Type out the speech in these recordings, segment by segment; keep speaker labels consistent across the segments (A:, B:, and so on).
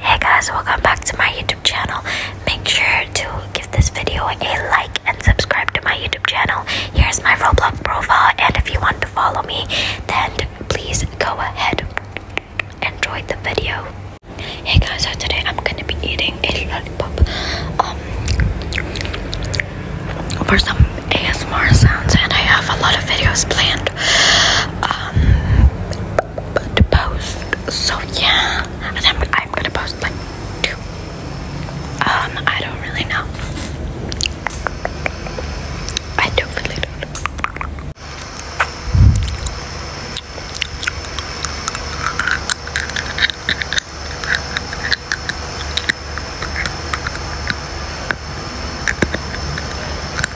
A: Hey guys, welcome back to my YouTube channel. Make sure to give this video a like and subscribe to my YouTube channel. Here's my Roblox profile, and if you want to follow me, then please go ahead. Enjoy the video. Hey guys, so today I'm gonna be eating a lollipop. Um, for some ASMR sounds, and I have a lot of videos planned. Um, to post. So yeah, I'm, gonna post like two. Um, I don't really know. I don't really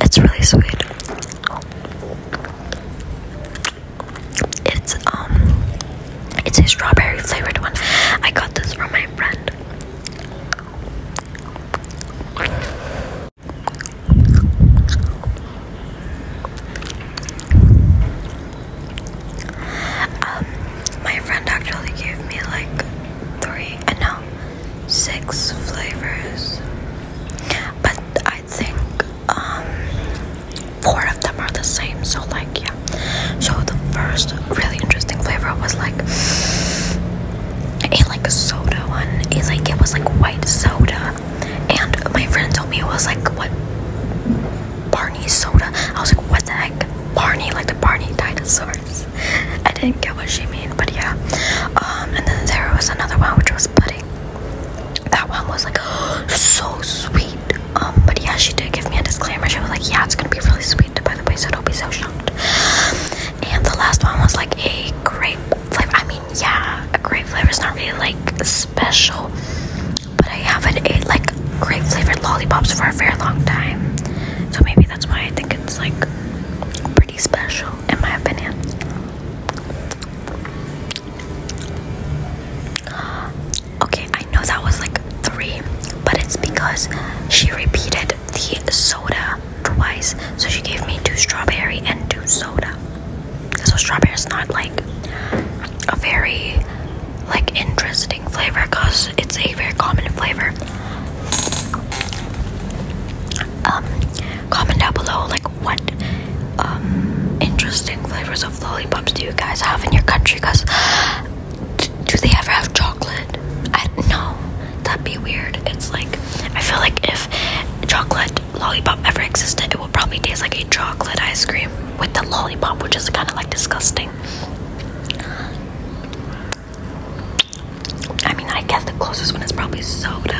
A: It's really sweet. It's um it's a strawberry flavored one. I got this from my friend. Um my friend actually gave me like three and uh, six flavors but I think um, four of them are the same so like yeah so the first really interesting flavor was like a like a soda one is like it was like white soda and my friend told me it was like what Barney soda I was like what the heck Barney like the Barney dinosaurs I didn't get what she meant, but yeah. Um, and then there was another one which was pudding. That one was like so sweet. Um, but yeah, she did give me a disclaimer. She was like, "Yeah, it's gonna be really sweet, by the way, so don't be so shocked." And the last one was like a grape flavor. I mean, yeah, a grape flavor is not really like special, but I haven't ate like grape flavored lollipops for a very long time, so maybe that's why I think it's like pretty special, in my opinion. Okay, I know that was like three, but it's because she repeated the soda twice. So she gave me two strawberry and two soda. So strawberry is not like a very like interesting flavor because it's a very common flavor. Um Comment down below like what um, interesting flavors of lollipops do you guys have in your country? Cause do they ever have chocolate? I don't know. That'd be weird. It's like I feel like if chocolate lollipop ever existed, it would probably taste like a chocolate ice cream with the lollipop, which is kind of like disgusting. I mean, I guess the closest one is probably soda.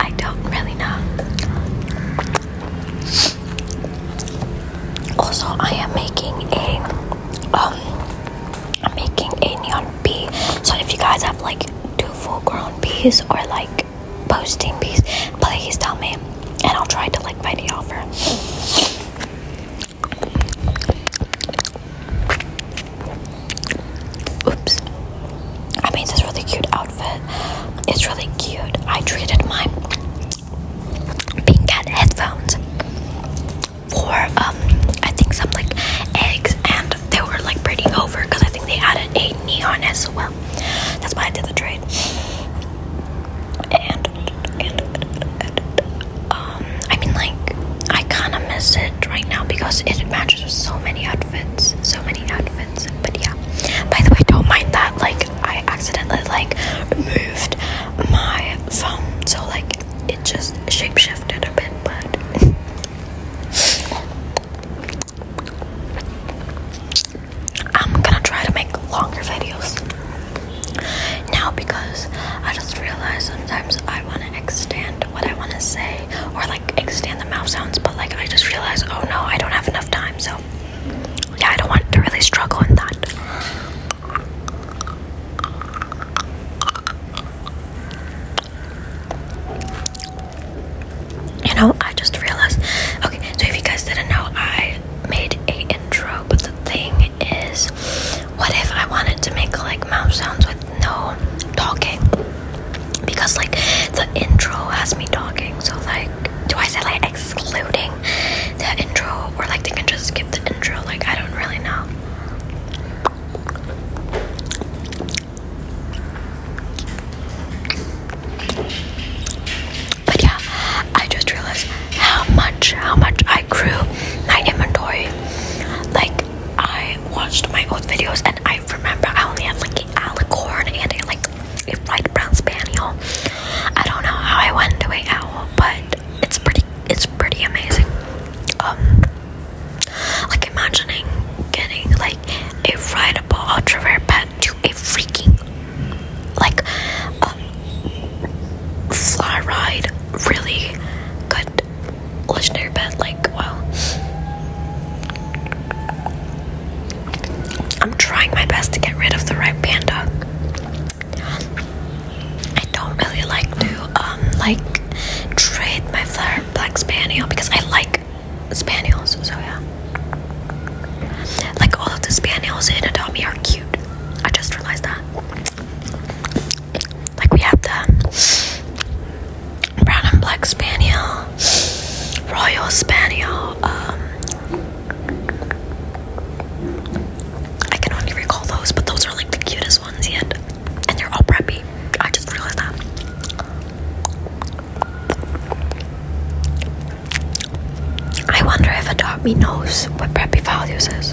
A: I don't really know. Also, I am making a um, I'm making a neon bee. So if you guys have like two full-grown bees or like posting bees, please tell me, and I'll try to like find the offer. Oops. I made this really cute outfit. It's really cute. I treated my pink cat headphones for um I think some like eggs and they were like pretty over because I think they added a neon as well. That's why I did the trade. And and, and, uh, I mean, like, I kind of miss it right now because it matches with so many outfits. So many outfits. But yeah. By the way, don't mind that. Like, I accidentally, like, moved my phone. So, like, it just shapeshifted a bit. But I'm gonna try to make longer videos now because I just realized sometimes I want to extend what I want to say or like extend the mouth sounds but like I just realized oh no I don't have enough time so yeah I don't want to really struggle in that you know I just realized okay so if you guys didn't know I made a intro but the thing is what if I wanted to make like mouse sounds with no talking? Because like the intro has me talking, so like do I say like excluding the intro or like they can just skip the intro? Like I don't really know. But yeah, I just realized how much how much I grew my inventory. Like I watched my old videos and I remember I only had like an alicorn and a, like a white brown spaniel. I don't know how I went to a owl, but it's pretty it's pretty amazing. Um like imagining getting like a rideable ultra rare pet to a freaking like um fly ride really good Legendary bed, like, wow. I'm trying my best to get rid of the red panda. I don't really like to, um, like, trade my flower black spaniel because I like spaniels, so yeah. Like, all of the spaniels in Adami are cute. I just realized that. Like we have the brown and black spaniel, royal spaniel. Um, I can only recall those, but those are like the cutest ones yet, and they're all preppy. I just realized that. I wonder if Adopt Me knows what preppy values is.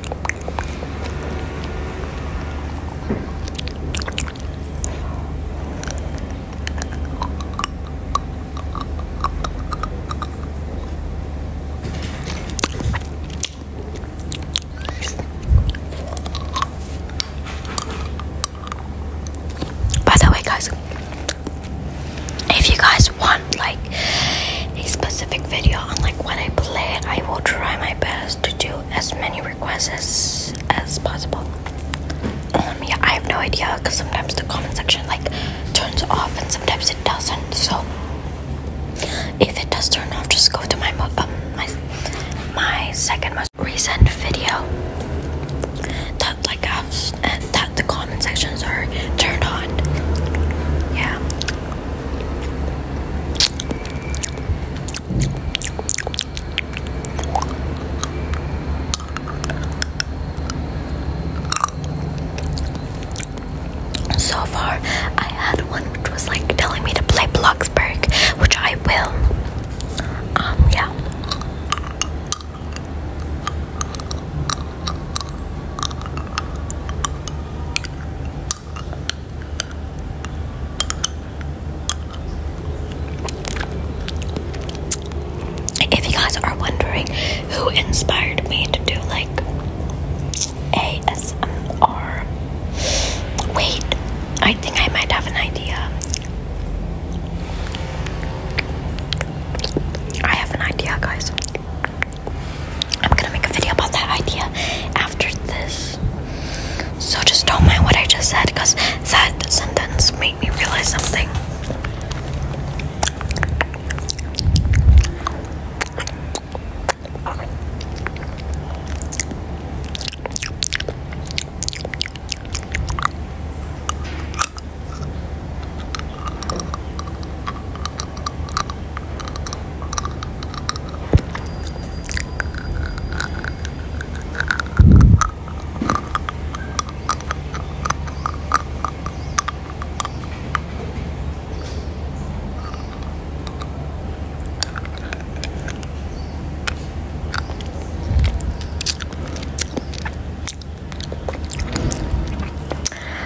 A: By the way, guys, if you guys want like a specific video on like what I play, I will try my best to do as many requests as, possible. Um, I have no idea because sometimes the comment section like turns off and sometimes it doesn't. So if it does turn off, just go to my um, my my second most recent video that like i that the comment sections are turned on. Yeah. So far, I had one which was like telling me to play Bloxburg, which I will. Um, yeah. If you guys are wondering who inspired me to do like ASMR, wait, I think I might have an idea. I have an idea, guys. I'm gonna make a video about that idea after this. So just don't mind what I just said because that sentence made me realize something.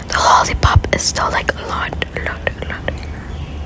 A: The lollipop is still like a lot, lot, a lot.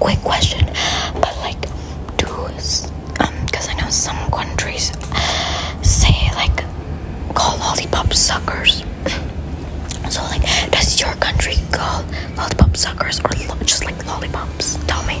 A: Quick question, but like, do um, because I know some countries say like call lollipop suckers. so like, does your country call lollipop suckers or just like lollipops? Tell me.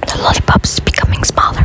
A: The lollipop is becoming smaller.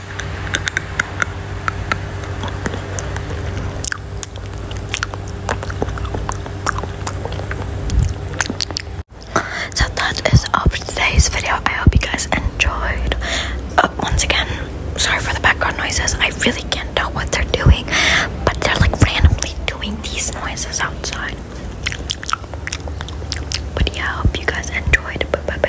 A: So that is up for today's video. I hope you guys enjoyed. Uh, once again, sorry for the background noises. I really can't tell what they're doing, but they're like randomly doing these noises outside. But yeah, I hope you guys enjoyed.